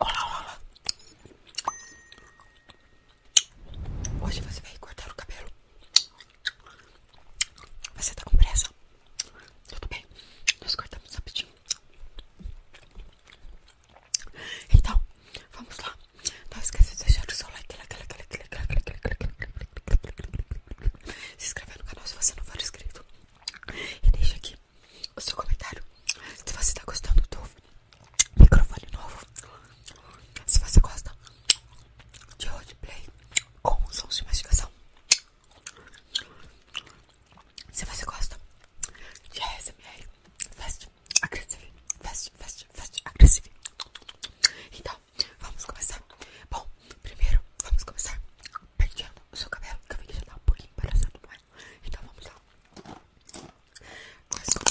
Olá, olá. Hoje você vai cortar o cabelo. Você tá com pressa? Tudo bem, nós cortamos rapidinho. Então, vamos lá. Não esqueça de deixar o seu like se inscreva no canal se você não for inscrito e deixe aqui o seu comentário se você tá gostando do microfone novo se você gosta de roleplay com sons de mastigação se você gosta de ASMR fast, agressive, fast, fast, fast, agressive então vamos começar. Bom, primeiro vamos começar penteando o seu cabelo, que eu vi que já tá um pouquinho embaraçado, mas... É? Então vamos lá. Começou.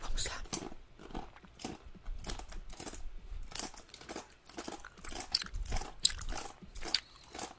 Vamos lá.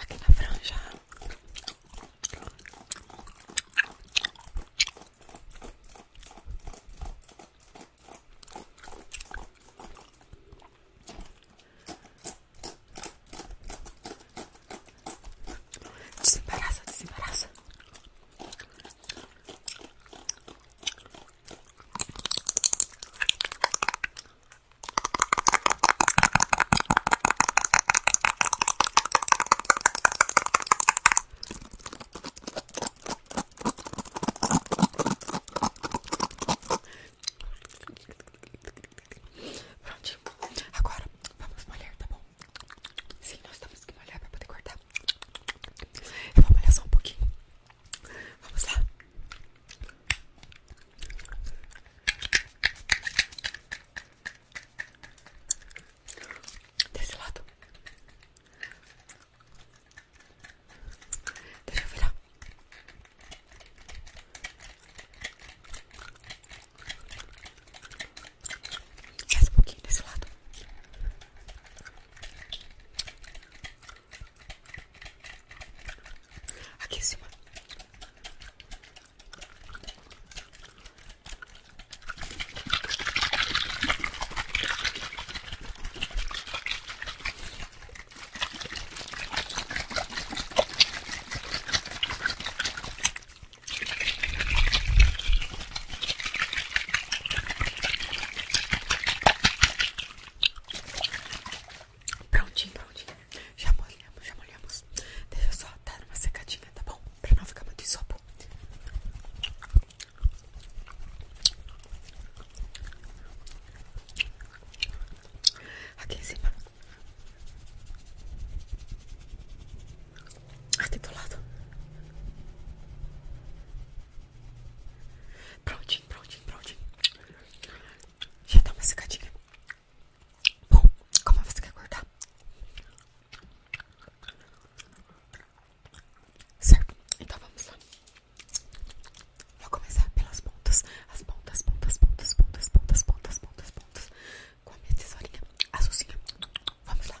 aqui na franja. Desembaraça, desembaraça. Pronto, agora vamos molhar, tá bom? Sim, nós temos que molhar pra poder cortar. Eu vou molhar só um pouquinho. Vamos lá. Desse lado. Deixa eu virar. Mais um pouquinho desse lado. Aqui em cima. Prontinho, prontinho. Já molhamos, já molhamos. Deixa só dar uma secadinha, tá bom? Pra não ficar muito isopo. Aqui em cima. Aqui do lado. Prontinho, prontinho, prontinho. Já dá uma secadinha. Bom, como você quer cortar? Certo, então vamos lá. Vou começar pelas pontas. As pontas, pontas, pontas, pontas, pontas, pontas, pontas, pontas. Com a minha tesourinha azulzinha. Vamos lá.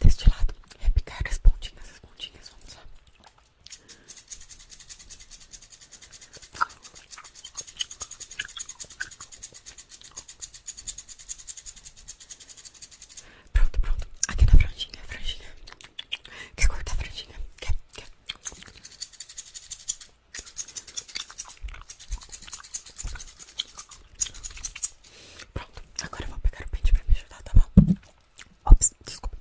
deste lado, é repicar as pontinhas, as pontinhas, vamos lá. Pronto, pronto. Aqui na franjinha, franjinha. Quer cortar a franjinha? Quer, quer. Pronto, agora eu vou pegar o pente pra me ajudar, tá bom? Ops, desculpa.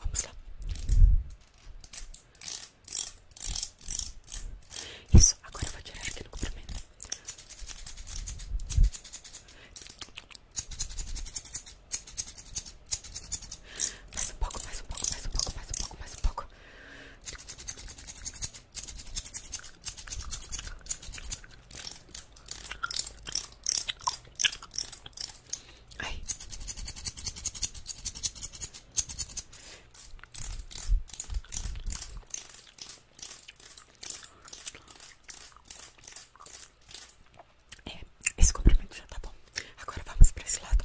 Vamos lá. Isso, agora eu vou tirar aqui do comprimento. Mais um pouco, mais um pouco, mais um pouco, mais um pouco, mais um pouco. É, esse comprimento já tá bom. Agora vamos para esse lado.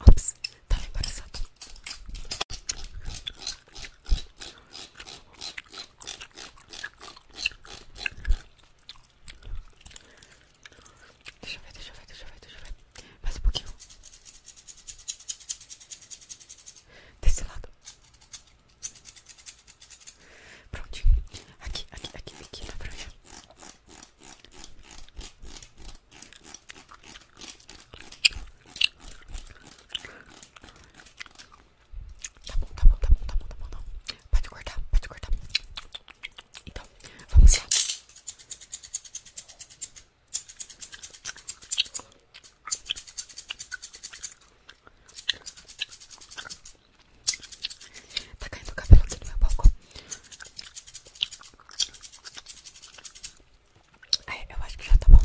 Ops, tava tá embaraçado. Deixa eu ver, deixa eu ver, deixa eu ver, deixa eu ver. Mais um pouquinho. Desse lado. Prontinho. Aqui, aqui, aqui, aqui na franja. Tá bom, tá bom, tá bom, tá bom, tá bom, Pode cortar, pode cortar. Então, vamos lá. Tá caindo o cabelo aqui no meu palco. Ai, eu acho que já tá bom.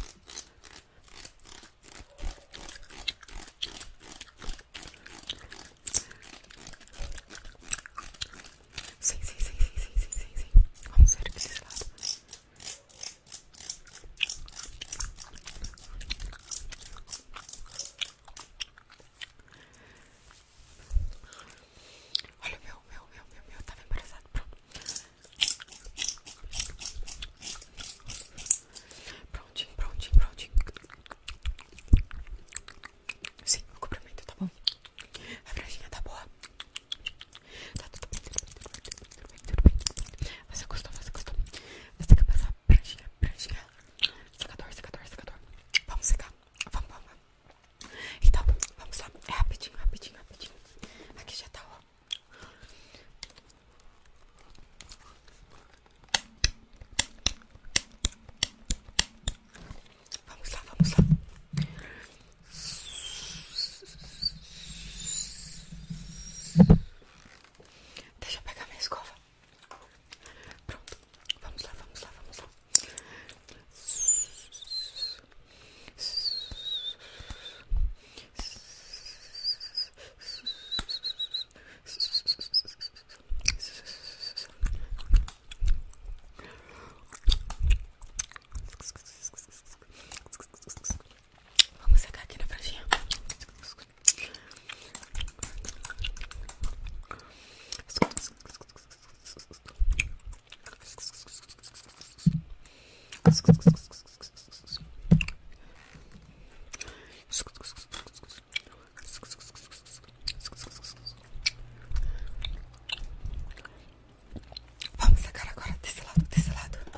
Sim, sim, sim, sim, sim, sim, sim, sim. Vamos ver o que vocês falam. Olha o meu, meu, meu, meu, meu, tava embaraçado. Pronto. Prontinho, prontinho, prontinho. Sim, o comprimento tá bom. A franjinha tá boa. Tá tudo bem, tudo bem, tudo bem, Você gostou, você gostou. Você tem que passar a pranchinha, pranchinha. Secador, secador, Vamos secar. Vamos, vamos, vamos. Então, vamos lá. É rapidinho, rapidinho, rapidinho. Aqui já tá, ó. Vamos lá, vamos lá. Deixa eu pegar minha escova. Pronto, vamos lá, vamos lá, vamos lá. Vamos secar aqui na franjinha. Vamos sacar agora desse lado, desse lado.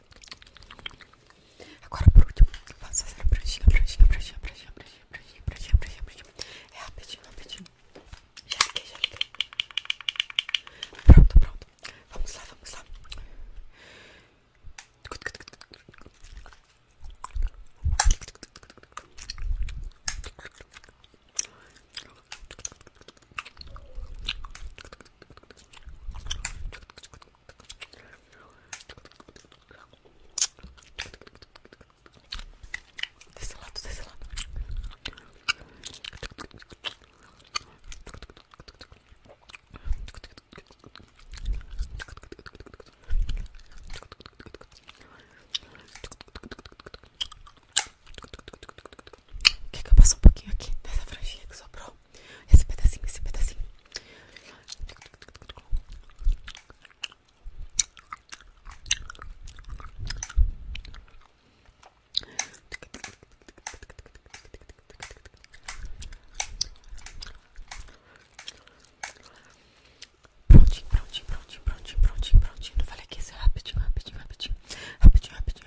Agora, por último, vamos fazer a pranchinha, pranchinha, pranchinha, pranchinha, pranchinha, pranchinha, pranchinha, pranchinha, pranchinha. É rapidinho, rapidinho. Já liguei, já liguei. Pronto, pronto. Vamos lá, vamos lá. Desse lado, desse lado. Quer que eu passe um pouquinho aqui dessa franjinha que sobrou? Esse pedacinho, esse pedacinho. Prontinho, prontinho, prontinho, prontinho, prontinho, prontinho. Não falei que isso é rapidinho, rapidinho, rapidinho. Rapidinho, rapidinho,